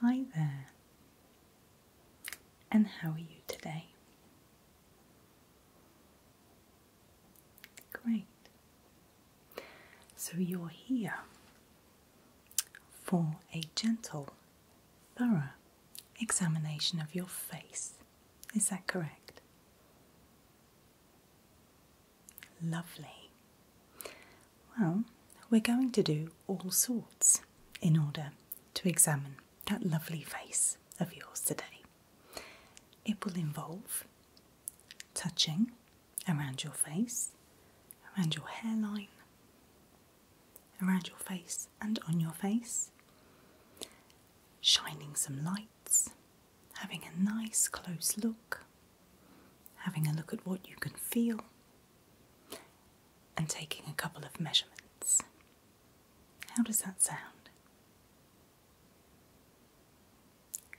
Hi there, and how are you today? Great. So you're here for a gentle, thorough examination of your face. Is that correct? Lovely. Well, we're going to do all sorts in order to examine that lovely face of yours today. It will involve touching around your face, around your hairline, around your face and on your face, shining some lights, having a nice close look having a look at what you can feel, and taking a couple of measurements. How does that sound?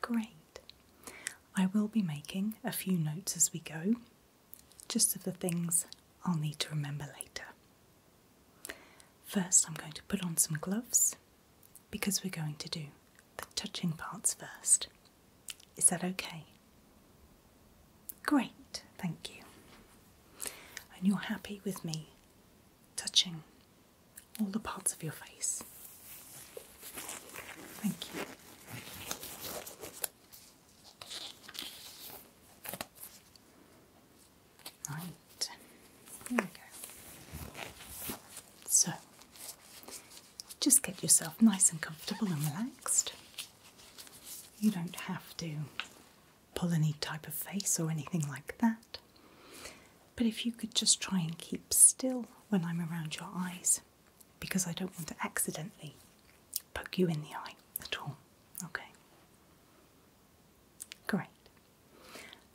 Great. I will be making a few notes as we go, just of the things I'll need to remember later. First, I'm going to put on some gloves because we're going to do the touching parts first. Is that okay? Great, thank you. And you're happy with me touching all the parts of your face. Thank you. Right, there we go. So, just get yourself nice and comfortable and relaxed. You don't have to pull any type of face or anything like that. But if you could just try and keep still when I'm around your eyes, because I don't want to accidentally poke you in the eye at all. Okay? Great.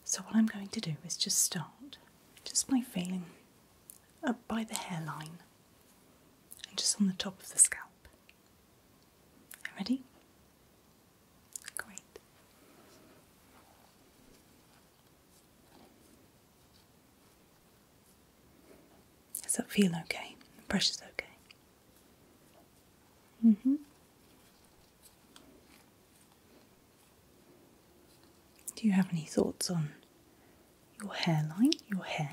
So, what I'm going to do is just start just by feeling up by the hairline and just on the top of the scalp. Ready? Great. Does that feel okay? The pressure's okay. hmm do you have any thoughts on your hairline, your hair?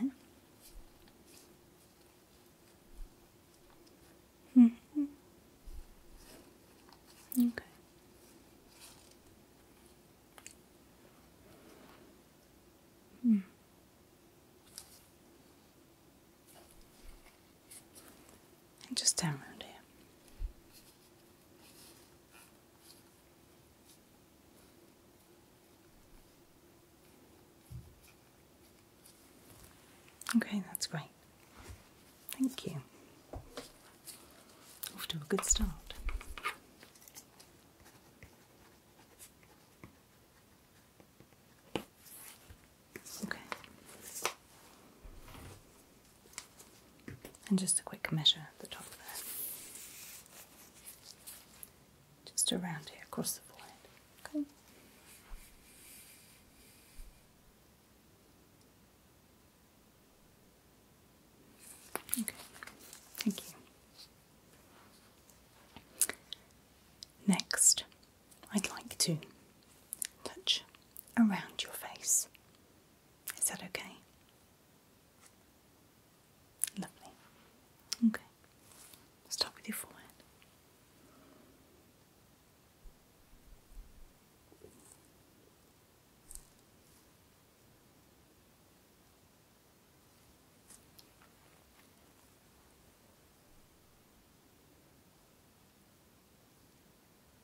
Mm-hmm. -hmm. Okay. Mm. just around here. Okay, that's great. Thank you. Off to a good start. Okay. And just a quick measure at the top there. Just around here, across the forehead. Okay. Okay, thank you. Next, I'd like to touch around your face. Is that okay? Lovely. Okay. Start with your forehead.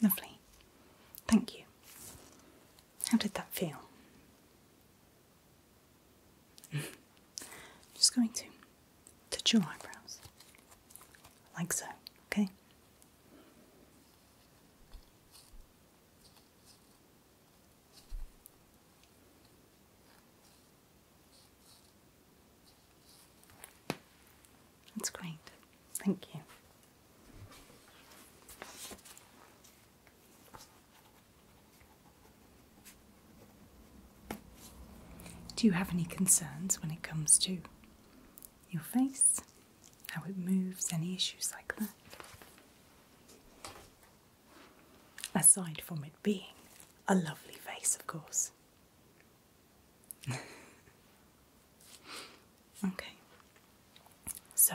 Lovely. Thank you. How did that feel? just going to touch your eyebrows like so, okay? That's great. Thank you. Do you have any concerns when it comes to your face? How it moves? Any issues like that? Aside from it being a lovely face, of course. okay, so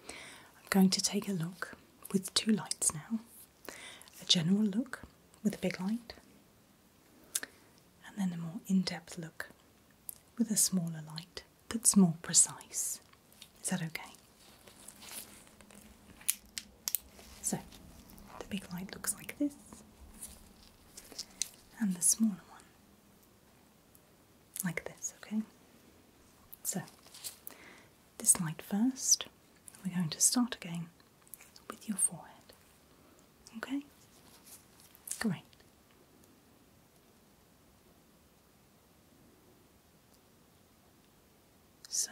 I'm going to take a look with two lights now a general look with a big light, and then a more in depth look with a smaller light that's more precise. Is that okay? So, the big light looks like this, and the smaller one like this, okay? So, this light first. We're going to start again with your forehead. Okay? Great. So,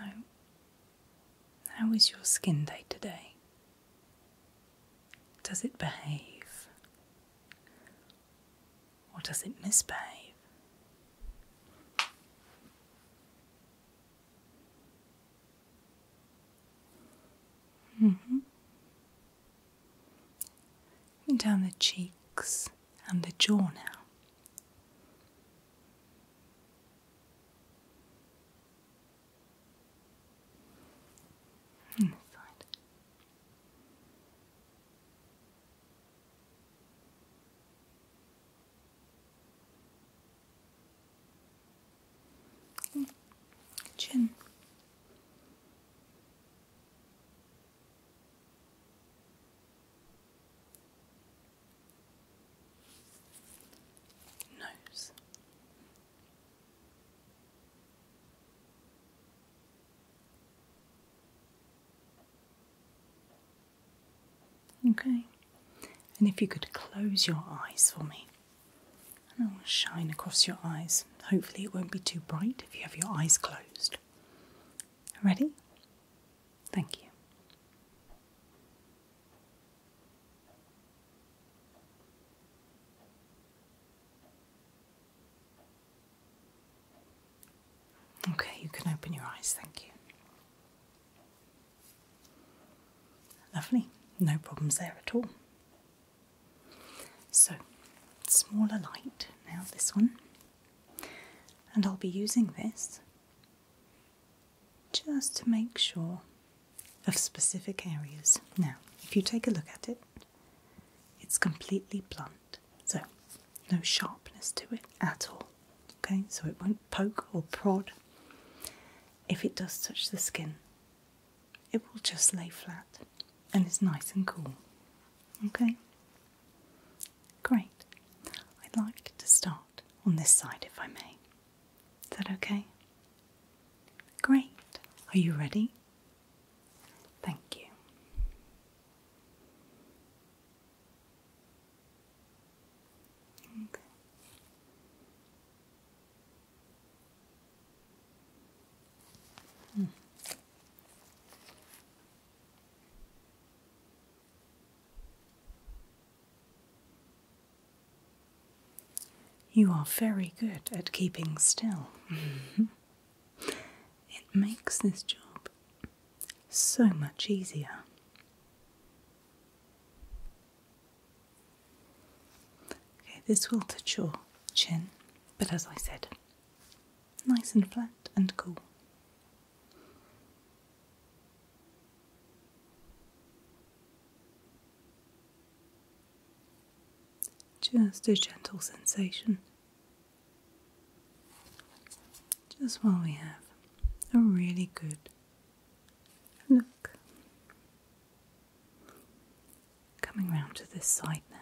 how is your skin day today? Does it behave? Or does it misbehave? Mm -hmm. Down the cheeks and the jaw now. Inside. Chin. Nose. Okay, and if you could close your eyes for me, and I will shine across your eyes. Hopefully, it won't be too bright if you have your eyes closed. Ready? Thank you. Okay, you can open your eyes, thank you. Lovely, no problems there at all. So, smaller light now, this one, and I'll be using this just to make sure of specific areas. Now, if you take a look at it, it's completely blunt. So, no sharpness to it at all. Okay, so it won't poke or prod. If it does touch the skin, it will just lay flat and it's nice and cool. Okay, great. I'd like to start on this side if I may. Is that okay? Great. Are you ready? Thank you. You are very good at keeping still. it makes this job so much easier. Okay, this will touch your chin, but as I said, nice and flat and cool. Just a gentle sensation just while we have a really good look. Coming round to this side now.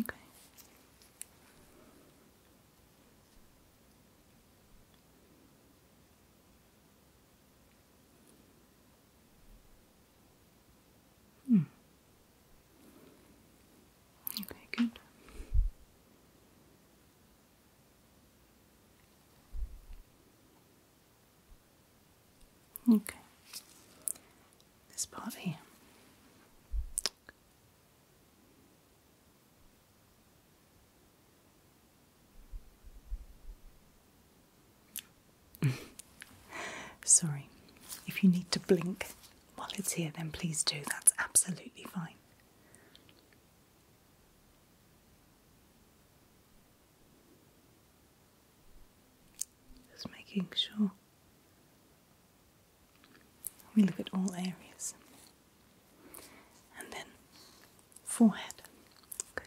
Okay. Okay, good. Okay. This part here. Sorry, if you need to blink while it's here, then please do. That's absolutely fine. Just making sure we look at all areas and then forehead. Okay.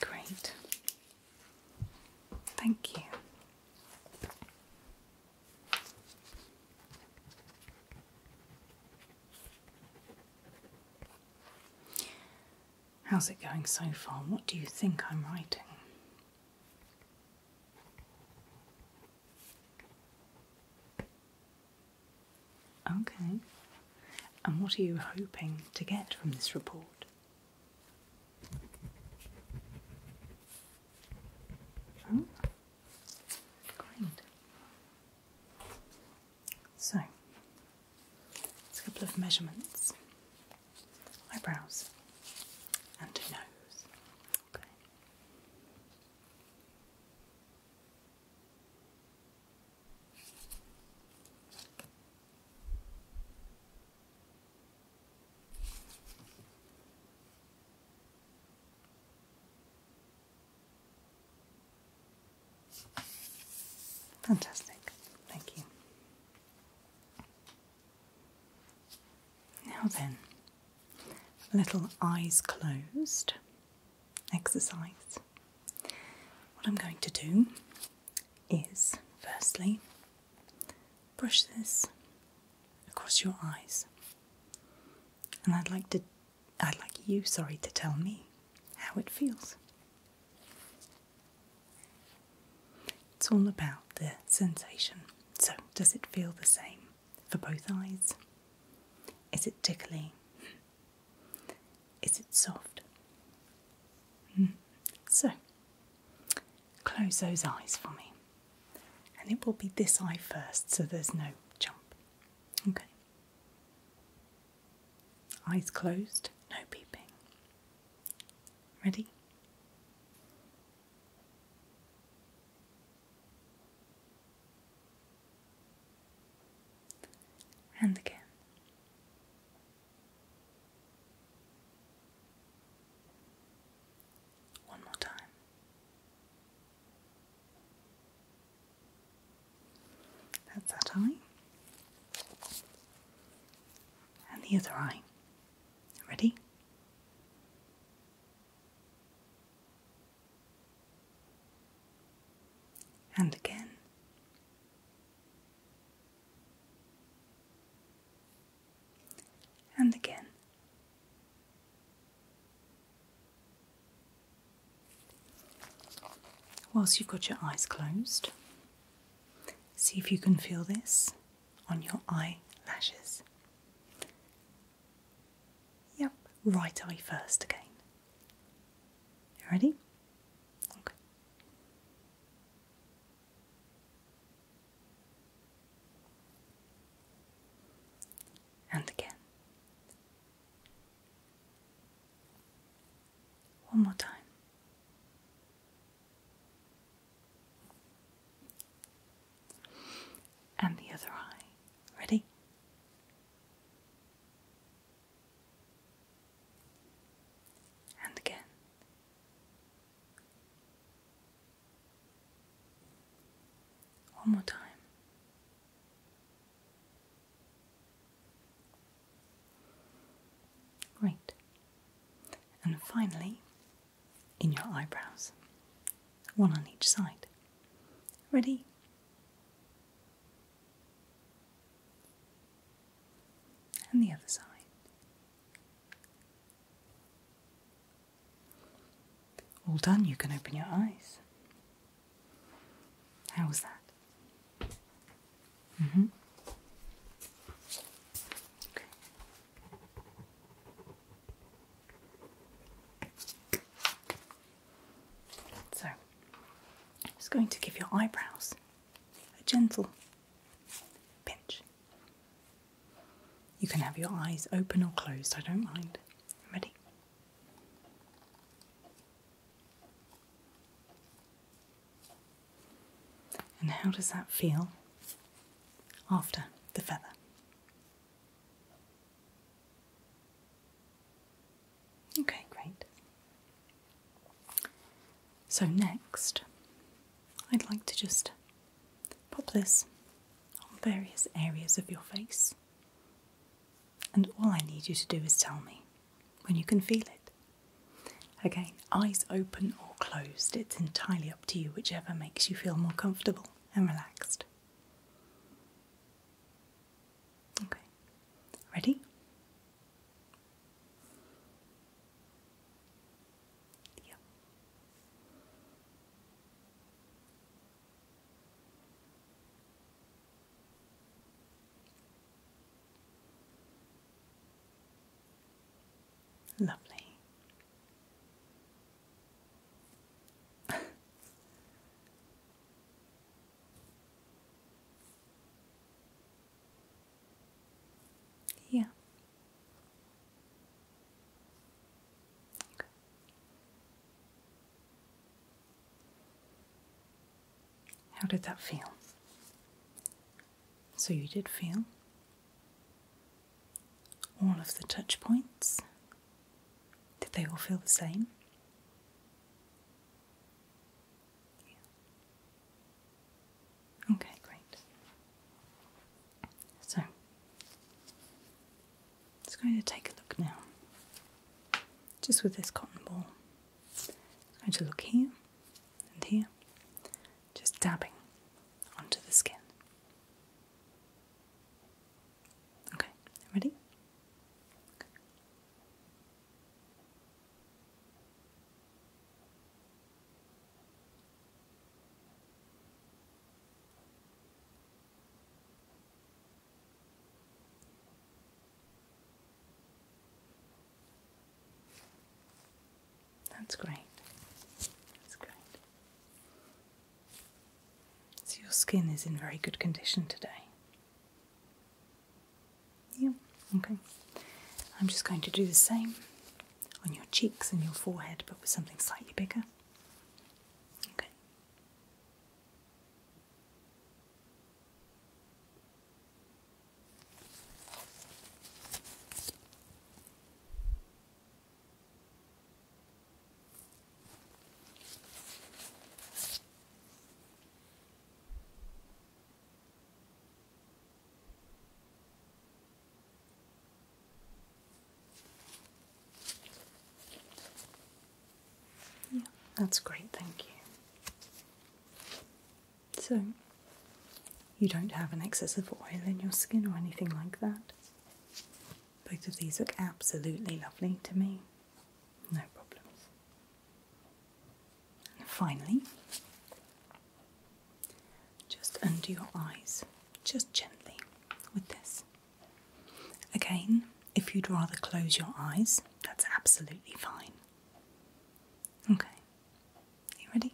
Great. Thank you. How's it going so far? What do you think I'm writing? Okay. And what are you hoping to get from this report? Oh, so, it's a couple of measurements eyebrows and a nose. Okay. Fantastic, thank you. Now then, little eyes closed exercise. What I'm going to do is firstly brush this across your eyes. And I'd like to I'd like you, sorry, to tell me how it feels. It's all about the sensation. So, does it feel the same for both eyes? Is it tickly? Is it soft? Hmm. So, close those eyes for me. And it will be this eye first, so there's no jump. Okay. Eyes closed, no peeping. Ready? And again. One more time. That's that eye. And the other eye. Ready? And again and again. Whilst you've got your eyes closed, see if you can feel this on your eyelashes. Yep, right eye first again. Ready? Okay. And again. One more time. And the other eye. Ready? and again. One more time. Great. And finally, in your eyebrows, one on each side. Ready? and the other side. All done, you can open your eyes. How was that? Mm-hmm. So, I'm just going to give your eyebrows a gentle pinch. You can have your eyes open or closed, I don't mind. Ready? And how does that feel after the feather? Okay, great. So, next, I'd like to just pop this on various areas of your face. And all I need you to do is tell me when you can feel it. Again, eyes open or closed, it's entirely up to you, whichever makes you feel more comfortable and relaxed. Okay, ready? Lovely. Yeah. How did that feel? So, you did feel all of the touch points? Did they all feel the same? Okay, great. So, it's going to take a look now. Just with this cotton ball. It's going to look here and here, just dabbing onto the skin. Okay, ready? That's great. That's great. So, your skin is in very good condition today. Yeah, okay. I'm just going to do the same on your cheeks and your forehead, but with something slightly bigger. Okay. Yeah, that's great, thank you. So, you don't have an excess of oil in your skin or anything like that. Both of these look absolutely lovely to me. No problems. And finally, just under your eyes, just gently with this. Again, if you'd rather close your eyes, that's absolutely fine. Okay, Are you ready?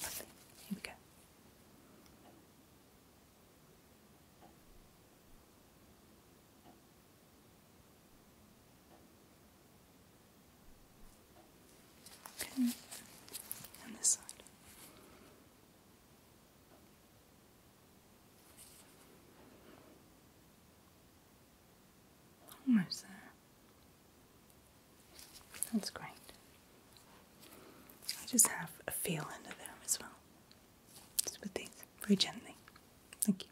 Here we go. Okay, and this side. Almost there. That's great. I just have a feel under there as well. Just with these, very gently. Thank you.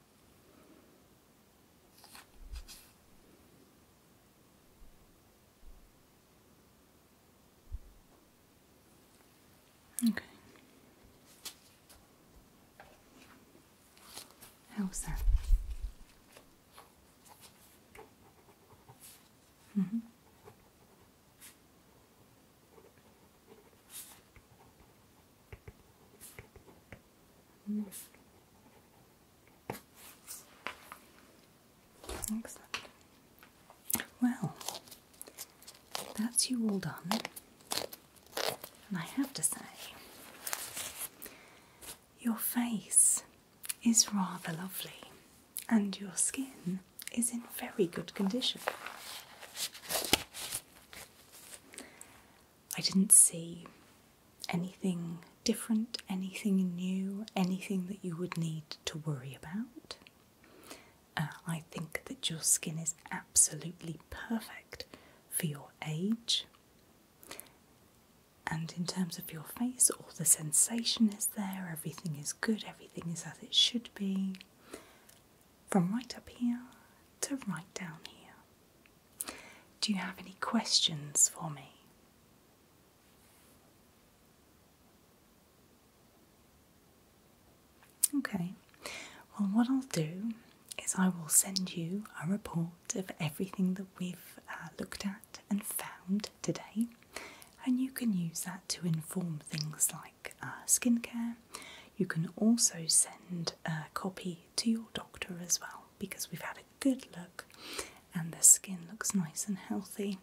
Okay. How's that? Mm -hmm. Well, that's you all done. And I have to say, your face is rather lovely and your skin is in very good condition. I didn't see anything different, anything new, anything that you would need to worry about. Uh, I think that your skin is absolutely perfect for your age. And in terms of your face, all the sensation is there, everything is good, everything is as it should be from right up here to right down here. Do you have any questions for me? Okay, well, what I'll do is I will send you a report of everything that we've uh, looked at and found today, and you can use that to inform things like uh, skincare. You can also send a copy to your doctor as well because we've had a good look and the skin looks nice and healthy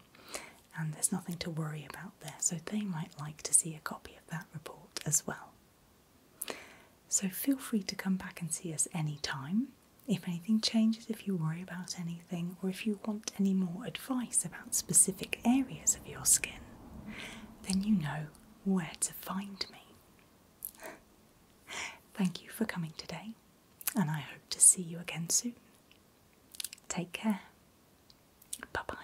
and there's nothing to worry about there. So they might like to see a copy of that report as well. So feel free to come back and see us anytime. If anything changes, if you worry about anything, or if you want any more advice about specific areas of your skin, then you know where to find me. Thank you for coming today, and I hope to see you again soon. Take care. Bye bye.